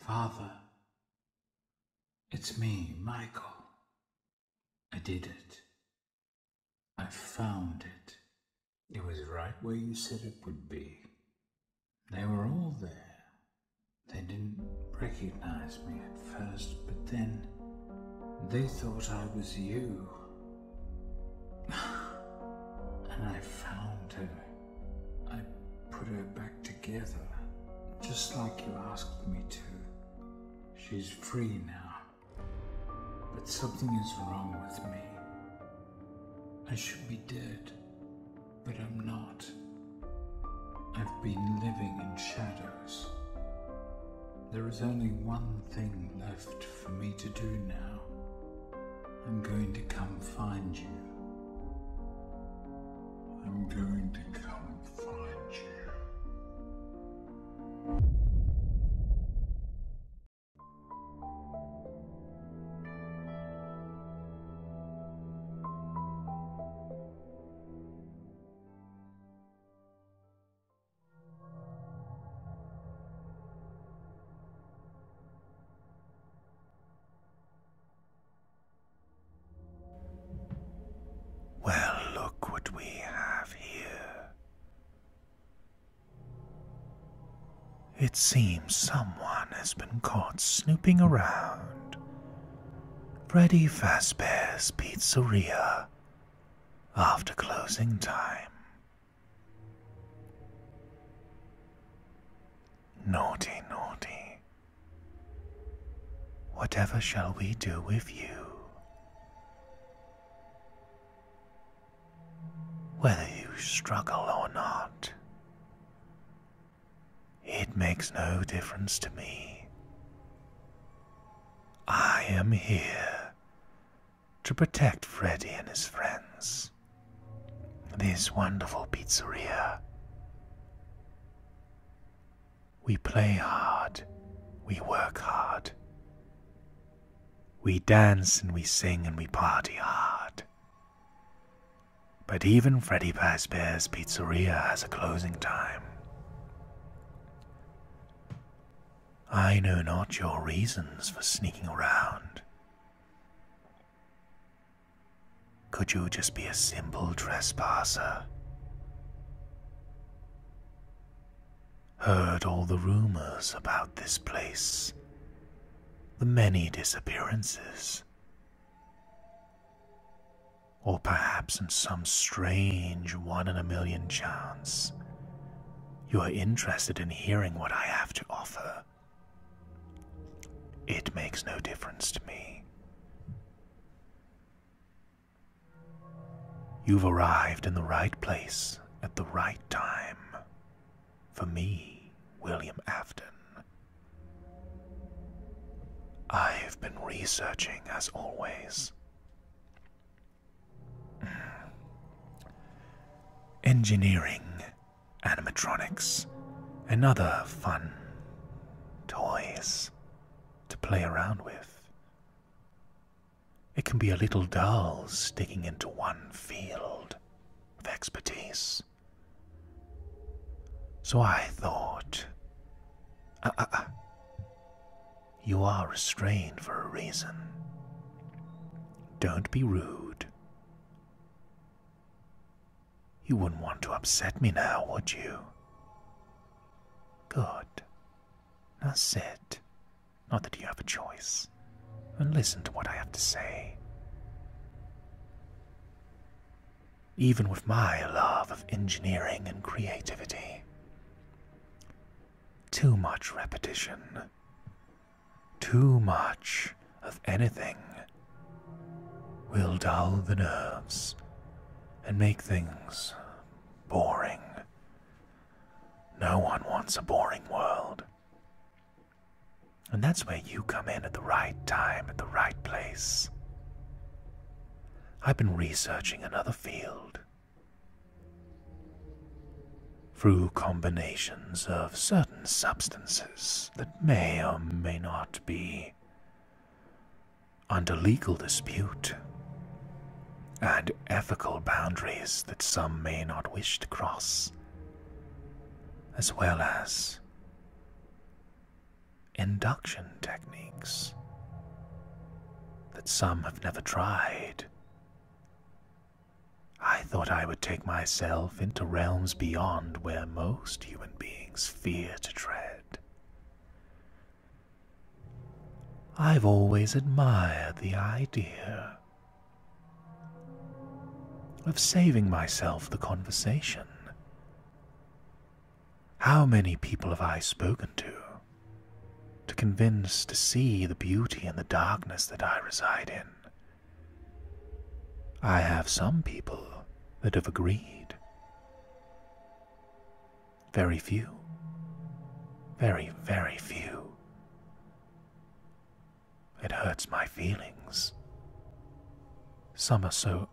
Father, it's me, Michael. I did it. I found it. It was right where you said it would be. They were all there. They didn't recognize me at first, but then they thought I was you. and I found her. I put her back together, just like you asked me to. She's free now. But something is wrong with me. I should be dead, but I'm not. I've been living in shadows. There is only one thing left for me to do now. I'm going to come find you. I'm going to come find you. Well, look what we have here. It seems someone has been caught snooping around Freddy Fazbear's Pizzeria after closing time. Naughty, naughty. Whatever shall we do with you? Whether you struggle or not, it makes no difference to me. I am here to protect Freddy and his friends. This wonderful pizzeria we play hard, we work hard. We dance and we sing and we party hard. But even Freddy Fazbear's Pizzeria has a closing time. I know not your reasons for sneaking around. Could you just be a simple trespasser? Heard all the rumors about this place, the many disappearances. Or perhaps in some strange one in a million chance, you are interested in hearing what I have to offer. It makes no difference to me. You've arrived in the right place at the right time. For me, William Afton. I've been researching as always. Engineering, animatronics, and other fun toys to play around with. It can be a little dull sticking into one field of expertise. So I thought, uh, uh, uh, you are restrained for a reason. Don't be rude. You wouldn't want to upset me now, would you? Good. Now sit, not that you have a choice, and listen to what I have to say. Even with my love of engineering and creativity, too much repetition, too much of anything will dull the nerves and make things boring. No one wants a boring world. And that's where you come in at the right time, at the right place. I've been researching another field. Through combinations of certain substances that may or may not be under legal dispute and ethical boundaries that some may not wish to cross, as well as induction techniques that some have never tried. I thought I would take myself into realms beyond where most human beings fear to tread. I've always admired the idea of saving myself the conversation. How many people have I spoken to to convince to see the beauty in the darkness that I reside in? I have some people that have agreed very few. Very, very few. It hurts my feelings. Some are so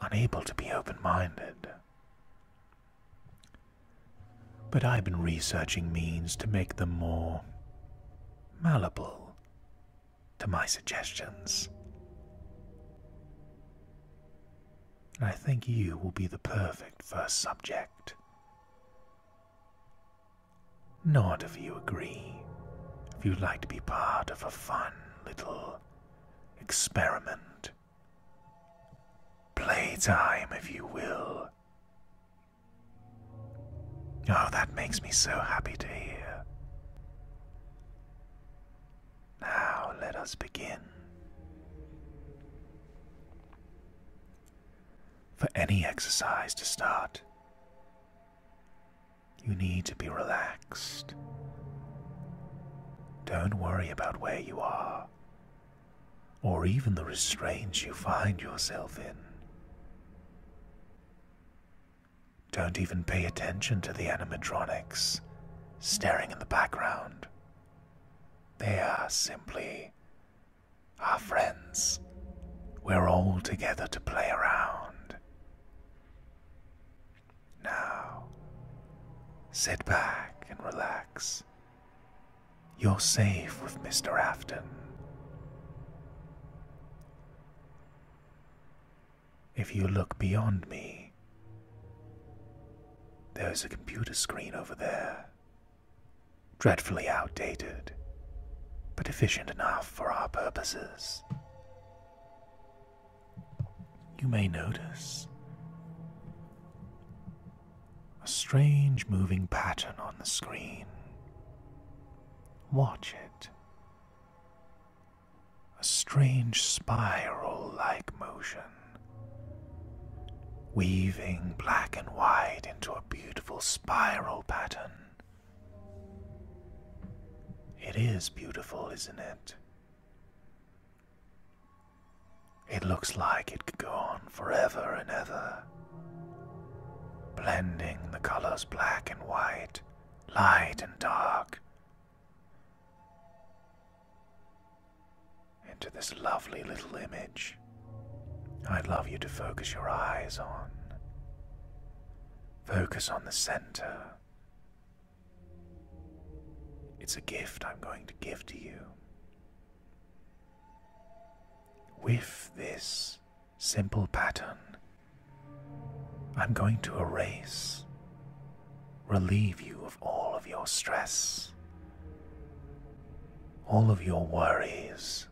unable to be open minded. But I've been researching means to make them more malleable to my suggestions. I think you will be the perfect first subject. Nod if you agree, if you'd like to be part of a fun little experiment. Playtime, if you will. Oh, that makes me so happy to hear. Now let us begin. For any exercise to start, you need to be relaxed. Don't worry about where you are, or even the restraints you find yourself in. Don't even pay attention to the animatronics staring in the background. They are simply our friends. We're all together to play around. Now, sit back and relax. You're safe with Mr. Afton if you look beyond me. There's a computer screen over there. Dreadfully outdated, but efficient enough for our purposes. You may notice a strange moving pattern on the screen. Watch it a strange spiral like motion, weaving black and white into a beautiful spiral pattern. It is beautiful, isn't it? It looks like it could go on forever and ever, blending the colors black and white, light and dark, into this lovely little image I'd love you to focus your eyes on. Focus on the center. It's a gift I'm going to give to you. With this simple pattern I'm going to erase, relieve you of all of your stress, all of your worries,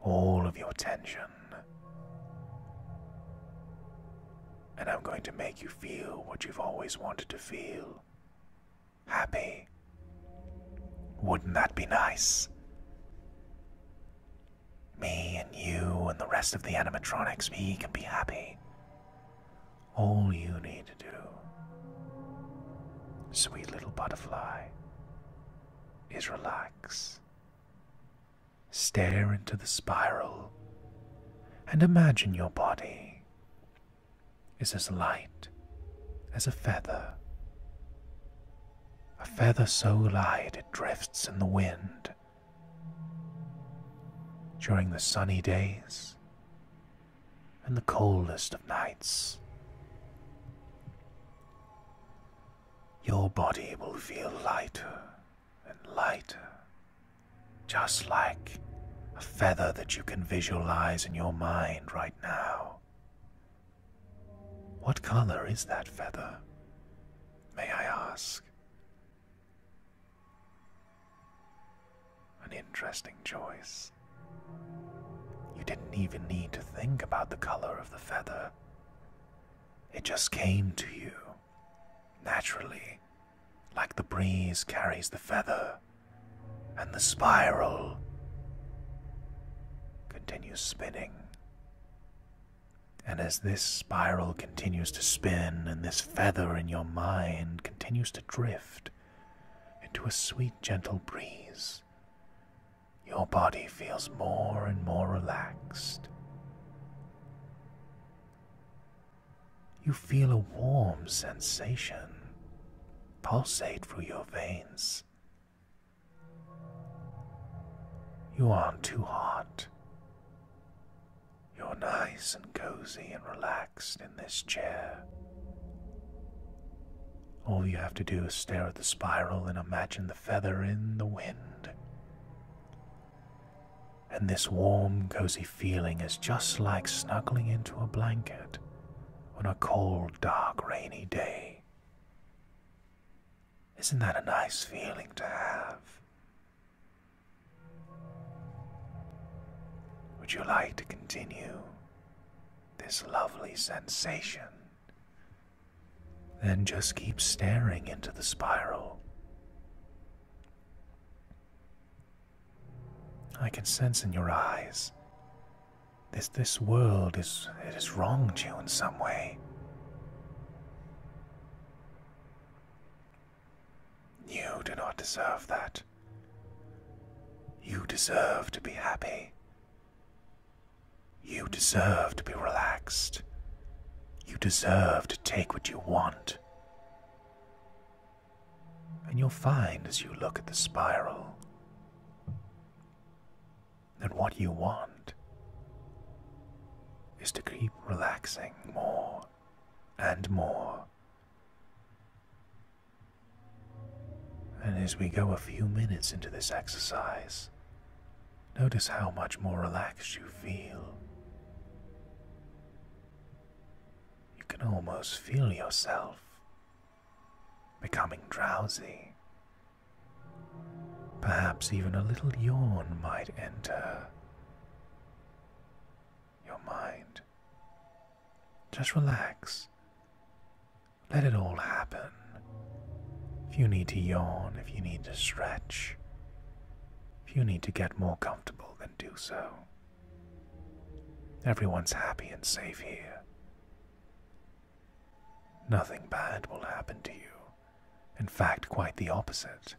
all of your tension. And I'm going to make you feel what you've always wanted to feel happy. Wouldn't that be nice? Me and you and the rest of the animatronics, we can be happy. All you need to do, sweet little butterfly, is relax. Stare into the spiral and imagine your body is as light as a feather. A feather so light it drifts in the wind during the sunny days and the coldest of nights. Your body will feel lighter and lighter, just like a feather that you can visualize in your mind right now. What color is that feather, may I ask? An interesting choice. You didn't even need to think about the color of the feather, it just came to you naturally, like the breeze carries the feather and the spiral continues spinning and as this spiral continues to spin and this feather in your mind continues to drift into a sweet, gentle breeze, your body feels more and more relaxed. You feel a warm sensation pulsate through your veins. You aren't too hot. You're nice and cozy and relaxed in this chair. All you have to do is stare at the spiral and imagine the feather in the wind. And this warm, cozy feeling is just like snuggling into a blanket on a cold, dark, rainy day. Isn't that a nice feeling to have? Would you like to continue this lovely sensation? Then just keep staring into the spiral. I can sense in your eyes this this world is it has wronged you in some way. You do not deserve that. You deserve to be happy. You deserve to be relaxed. You deserve to take what you want. And you'll find as you look at the spiral that what you want is to keep relaxing more and more. And as we go a few minutes into this exercise, notice how much more relaxed you feel. You can almost feel yourself becoming drowsy. Perhaps even a little yawn might enter your mind. Just relax. Let it all happen. If you need to yawn, if you need to stretch, if you need to get more comfortable, then do so. Everyone's happy and safe here. Nothing bad will happen to you. In fact, quite the opposite.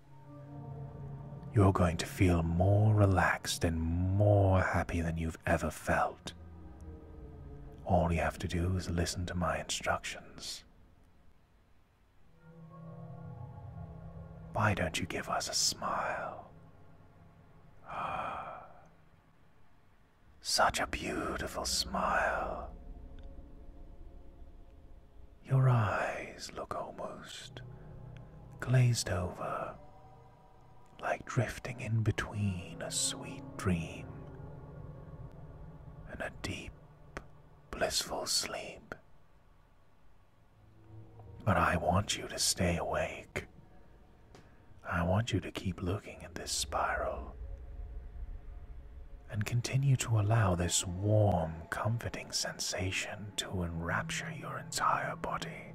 You're going to feel more relaxed and more happy than you've ever felt. All you have to do is listen to my instructions. Why don't you give us a smile? Ah, such a beautiful smile. Your eyes look almost glazed over, like drifting in between a sweet dream and a deep, blissful sleep. But I want you to stay awake. I want you to keep looking at this spiral and continue to allow this warm, comforting sensation to enrapture your entire body.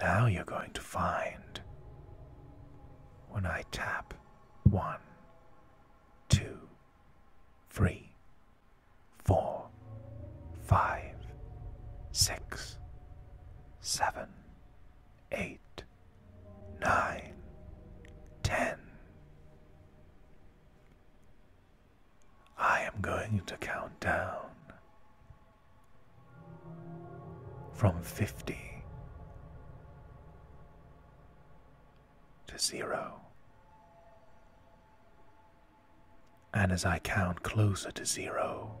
Now you're going to find when I tap one, two, three, four, five, six, seven, eight, nine, ten. I am going to count down from 50 to 0. And as I count closer to 0,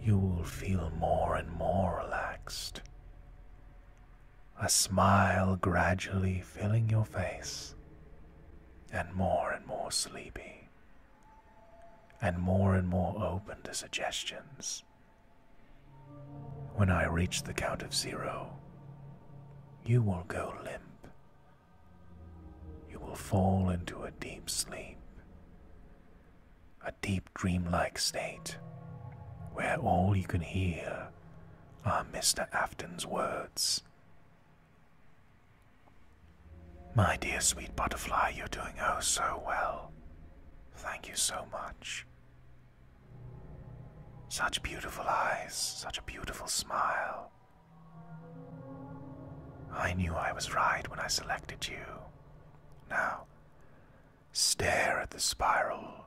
you will feel more and more relaxed a smile gradually filling your face, and more and more sleepy, and more and more open to suggestions. When I reach the count of zero, you will go limp. You will fall into a deep sleep, a deep dreamlike state where all you can hear are Mr. Afton's words. My dear sweet butterfly, you're doing oh so well. Thank you so much. Such beautiful eyes, such a beautiful smile. I knew I was right when I selected you. Now, stare at the spiral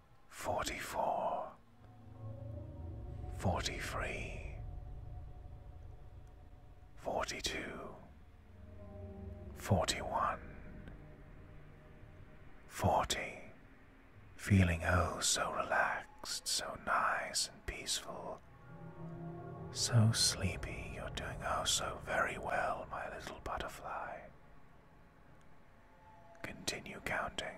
44 43 42 41 40 feeling oh so relaxed so nice and peaceful so sleepy you're doing oh so very well my little butterfly continue counting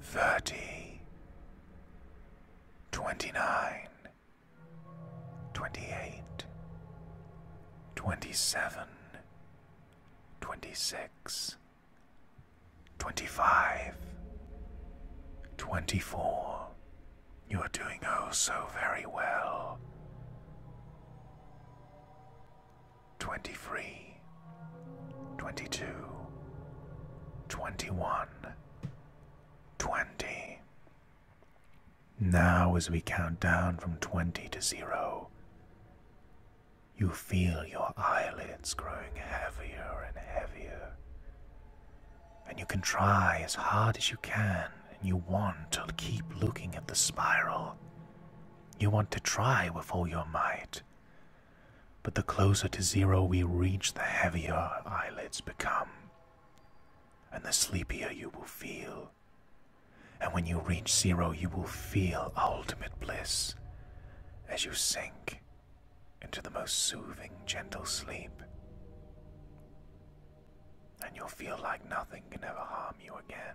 thirty, twenty nine, twenty eight, twenty seven, twenty six, twenty five, twenty four. You are doing oh so very well. 23, 22, 21, 20. Now, as we count down from 20 to 0, you feel your eyelids growing heavier and heavier. And you can try as hard as you can, and you want to keep looking at the spiral. You want to try with all your might. But the closer to zero we reach, the heavier our eyelids become, and the sleepier you will feel. And when you reach zero, you will feel ultimate bliss as you sink into the most soothing, gentle sleep. And you'll feel like nothing can ever harm you again.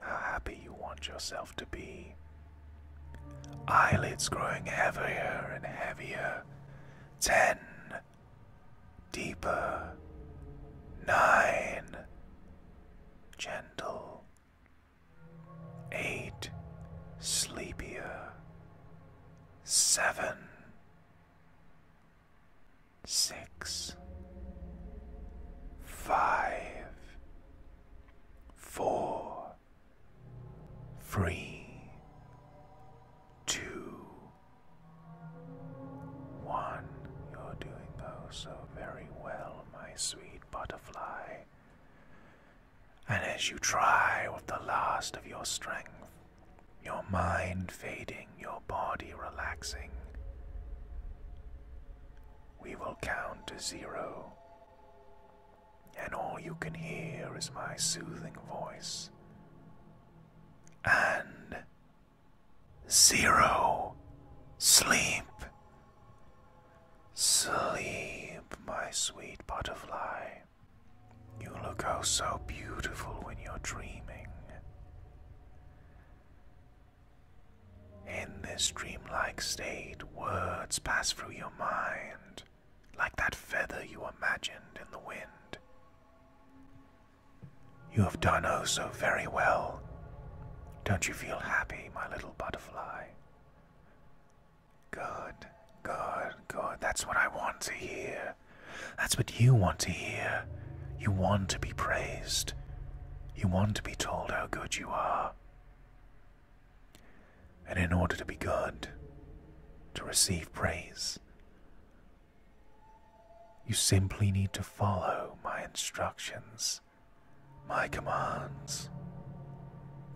How happy you want yourself to be. Eyelids growing heavier and heavier. Ten. Deeper. Nine. Gentle. Eight. Sleepier. Seven six, five, four, three, two, one. You're doing oh so very well, my sweet butterfly. And as you try with the last of your strength, your mind fading your body relaxing. We will count to zero, and all you can hear is my soothing voice. And zero, sleep. Sleep, my sweet butterfly. You look oh so beautiful when you're dreaming. In this dreamlike state, words pass through your mind, like that feather you imagined in the wind. You have done oh so very well. Don't you feel happy, my little butterfly? Good, good, good. That's what I want to hear. That's what you want to hear. You want to be praised. You want to be told how good you are. And in order to be good, to receive praise, you simply need to follow my instructions, my commands,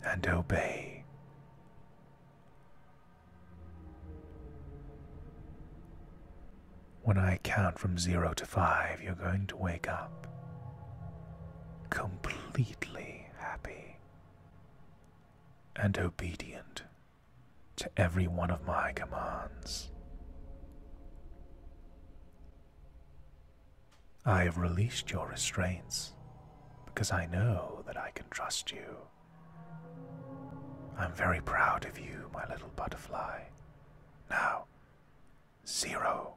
and obey. When I count from zero to five, you're going to wake up completely happy and obedient to every one of my commands. I have released your restraints because I know that I can trust you. I'm very proud of you, my little butterfly. Now, zero,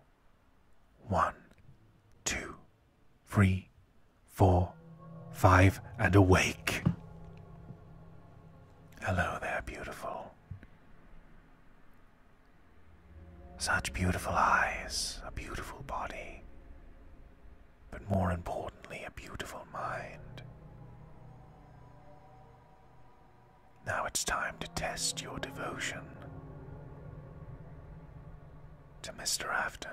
one, two, three, four, five, and awake. Hello there, beautiful. Such beautiful eyes, a beautiful body, but more importantly, a beautiful mind. Now it's time to test your devotion to Mr. Afton.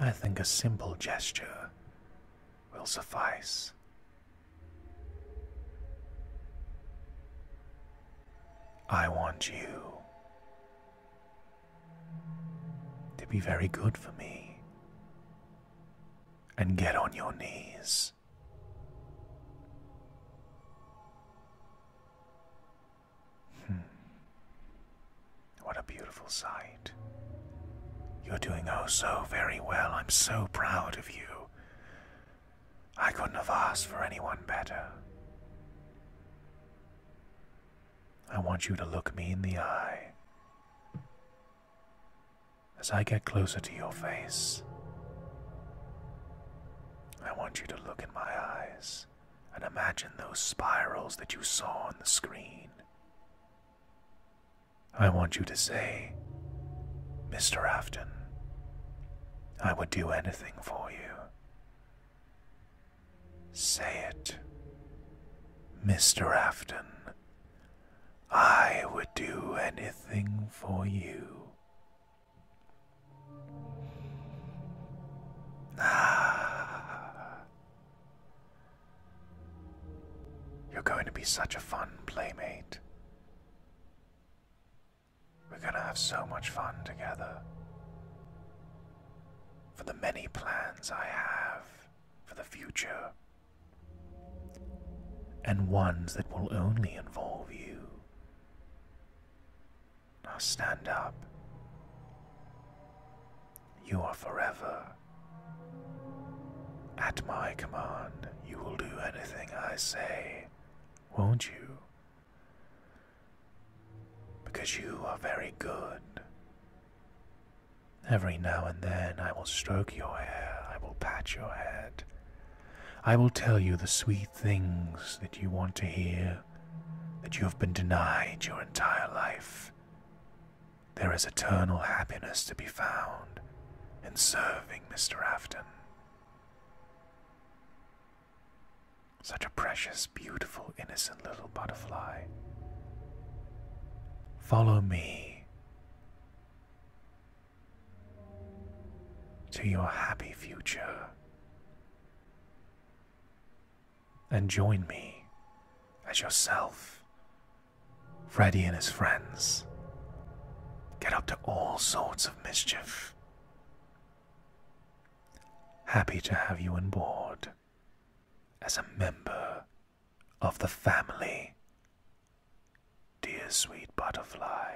I think a simple gesture will suffice. I want you to be very good for me and get on your knees. Hmm. What a beautiful sight. You're doing oh so very well. I'm so proud of you. I couldn't have asked for anyone better. I want you to look me in the eye as I get closer to your face, I want you to look in my eyes and imagine those spirals that you saw on the screen. I want you to say, Mr. Afton, I would do anything for you. Say it. Mr. Afton, I would do anything for you. Ah. You're going to be such a fun playmate. We're going to have so much fun together. For the many plans I have for the future and ones that will only involve you. Now stand up. You are forever. At my command, you will do anything I say, won't you? Because you are very good. Every now and then I will stroke your hair, I will pat your head. I will tell you the sweet things that you want to hear, that you have been denied your entire life. There is eternal happiness to be found in serving Mr. Afton. Such a precious, beautiful, innocent little butterfly. Follow me to your happy future. And join me as yourself, Freddy and his friends get up to all sorts of mischief. Happy to have you on board as a member of the family, dear sweet butterfly.